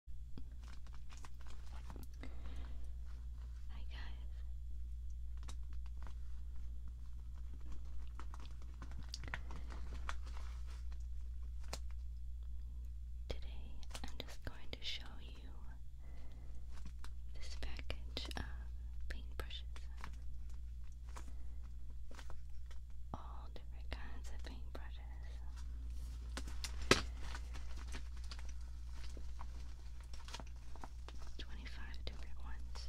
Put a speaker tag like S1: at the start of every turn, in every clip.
S1: Hi guys. Today I'm just going to show you this package of paintbrushes. All different kinds of paintbrushes it is. Twenty-five different ones.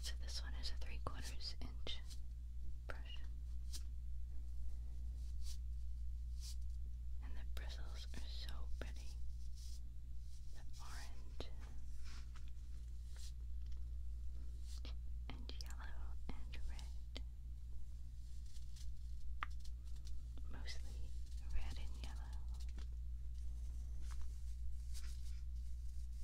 S1: So this one is a three quarters inch brush. And the bristles are so pretty. The orange and yellow and red. Mostly red and yellow.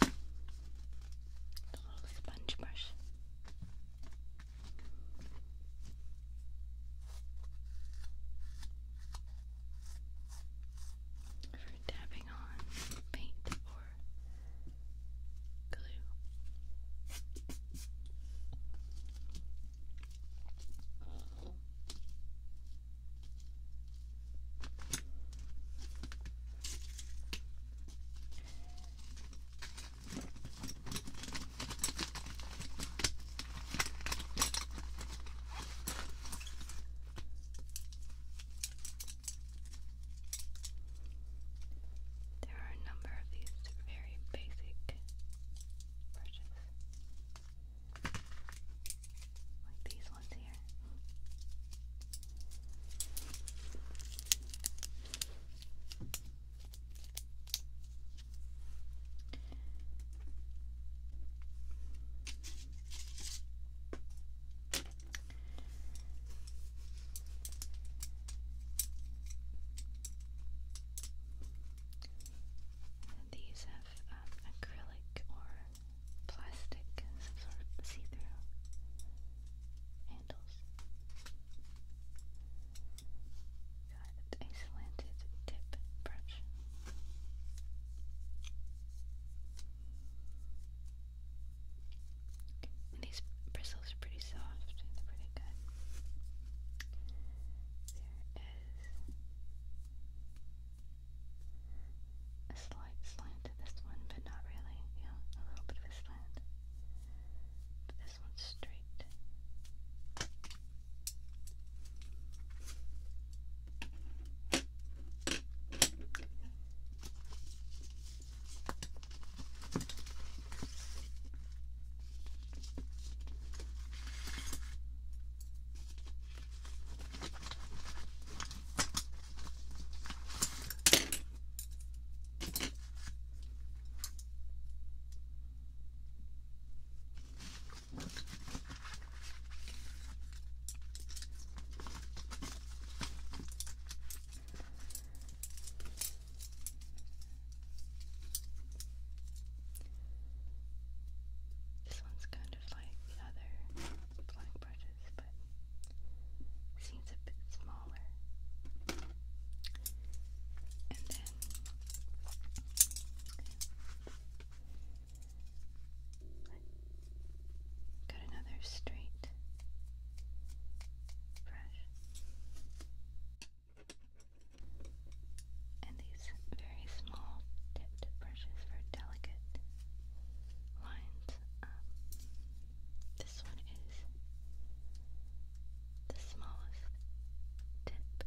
S1: The little sponge brush. For dabbing on paint or glue. There are a number of these very basic brushes. Like these this one's These have um, acrylic or plastic, some sort of see-through handles. Got a slanted tip brush. these bristles are pretty soft, they're pretty good. There is a slight slant to this one, but not really. Yeah, a little bit of a slant. this one's straight. This one's kind of like the other black brush sizes, but seems a bit smaller. And then got another straight brush. And these very small tipped brushes for delicate lines up. This one is the smallest tip.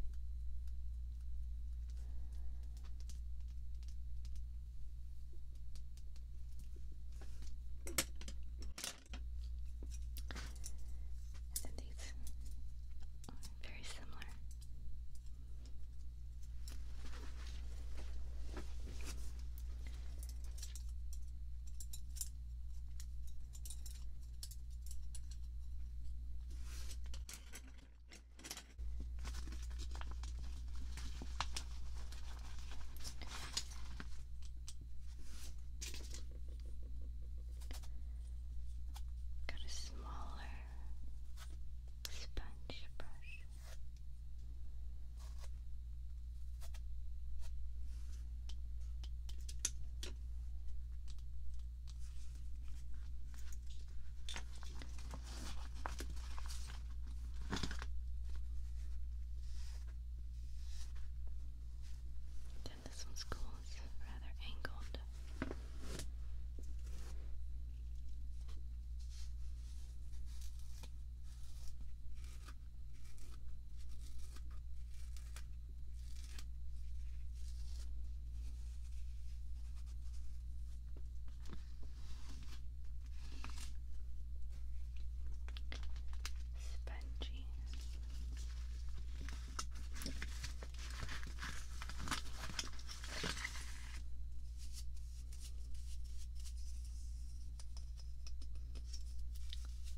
S1: And these are very similar. Got a smaller sponge brush. Then this one's cool, it's rather angled. Spongy.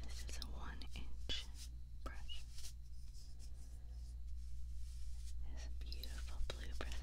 S1: This is a one inch brush. There's beautiful blue bristles.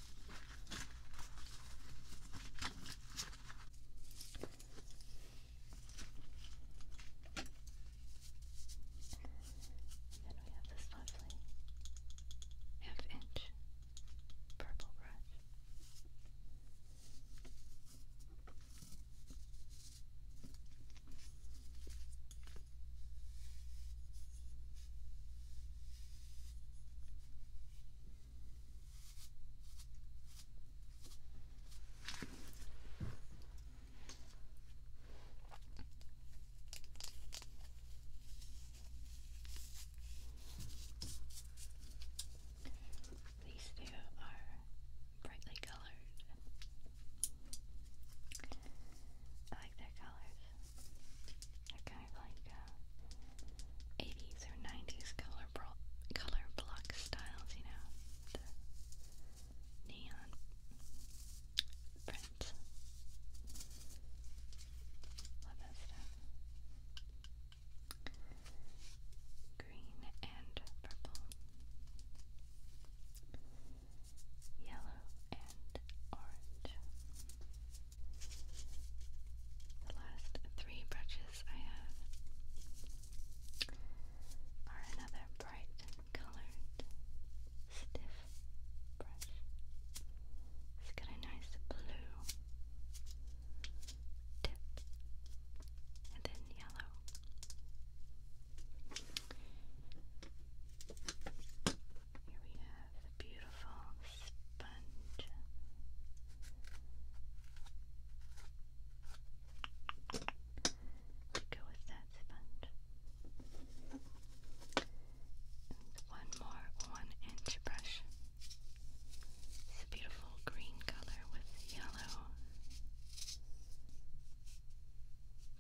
S1: Then we have this lovely half inch purple brush. These two are brightly colored. I like their colors are kind of like uh, 80s or 90s color, bro color block styles, you know, the neon print. Love that stuff. Green and purple. Yellow and orange. The last three brushes I have are another bright colored stiff brush. It's got a nice blue tip and then yellow. Here we have a beautiful sponge. go with that sponge. one more one inch brush. It's a beautiful green color with yellow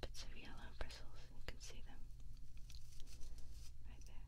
S1: bits of yellow bristles. You can see them right there.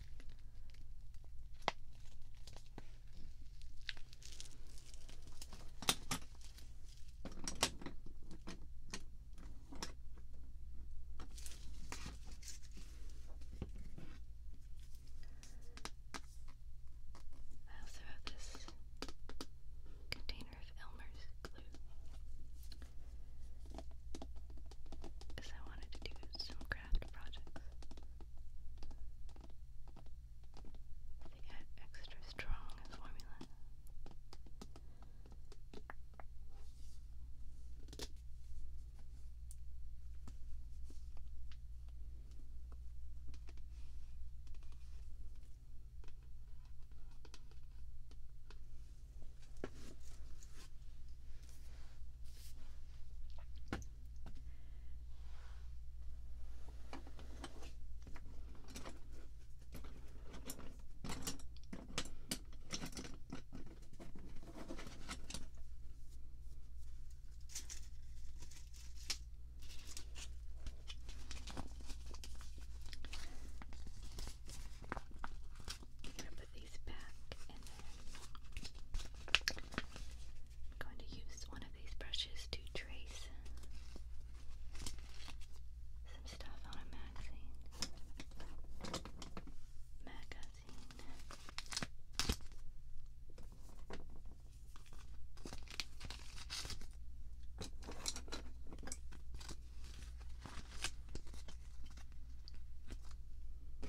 S1: I also have this container of Elmer's glue is I wanted to do some craft projects. They get extra strong formula. I'm gonna put these back and then I'm going to use one of these brushes to trace some stuff on a magazine. Magazine. Okay.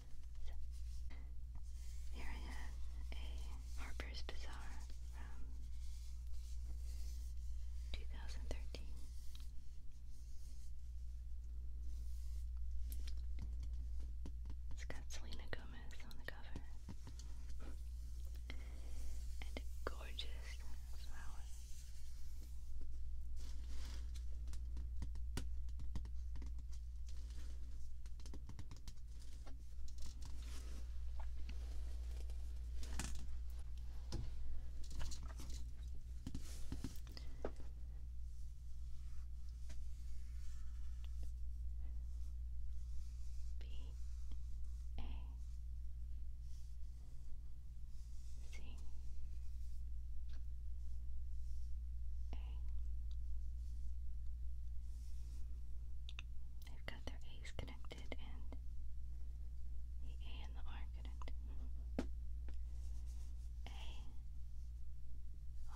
S1: Here I have a Harper's Bazaar from 2013. It's got Selena Gomez on the cover and a gorgeous flower. B A C They've got their A's connected and the A and the R connected. A R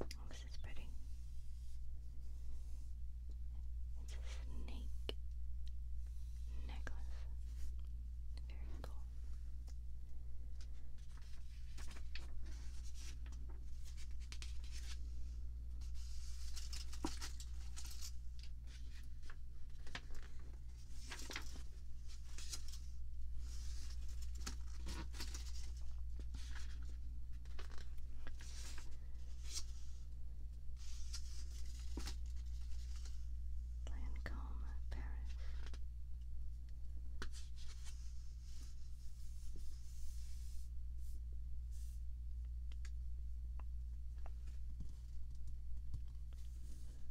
S1: Oh, this It's a snake necklace. Very cool. Lancome, Paris.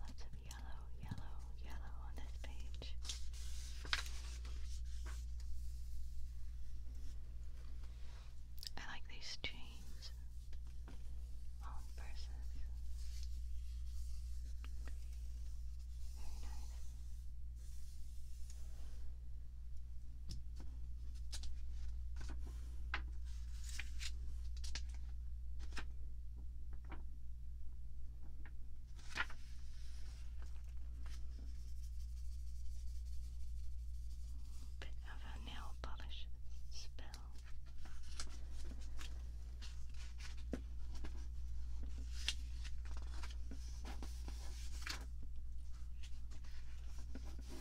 S1: Lots of yellow, yellow, yellow on this page. I like these chains on purses. Very nice. Bit of a nail polish spell.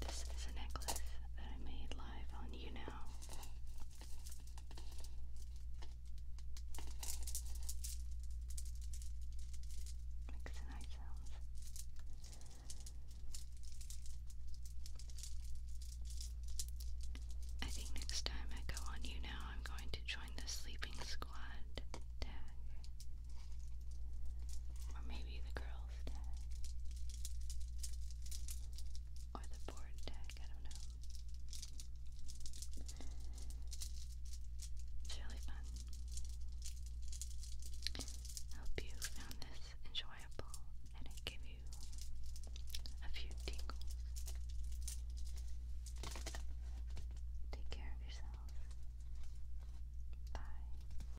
S1: This is a necklace that I made live on You Now. Makes nice sounds. I think next time I go on You I'm going to join the sleeping squad or maybe the girls tag. Or the board tag, I don't know. It's really fun. I hope you found this enjoyable and it gave you a few tingles. Take care of yourself. Bye.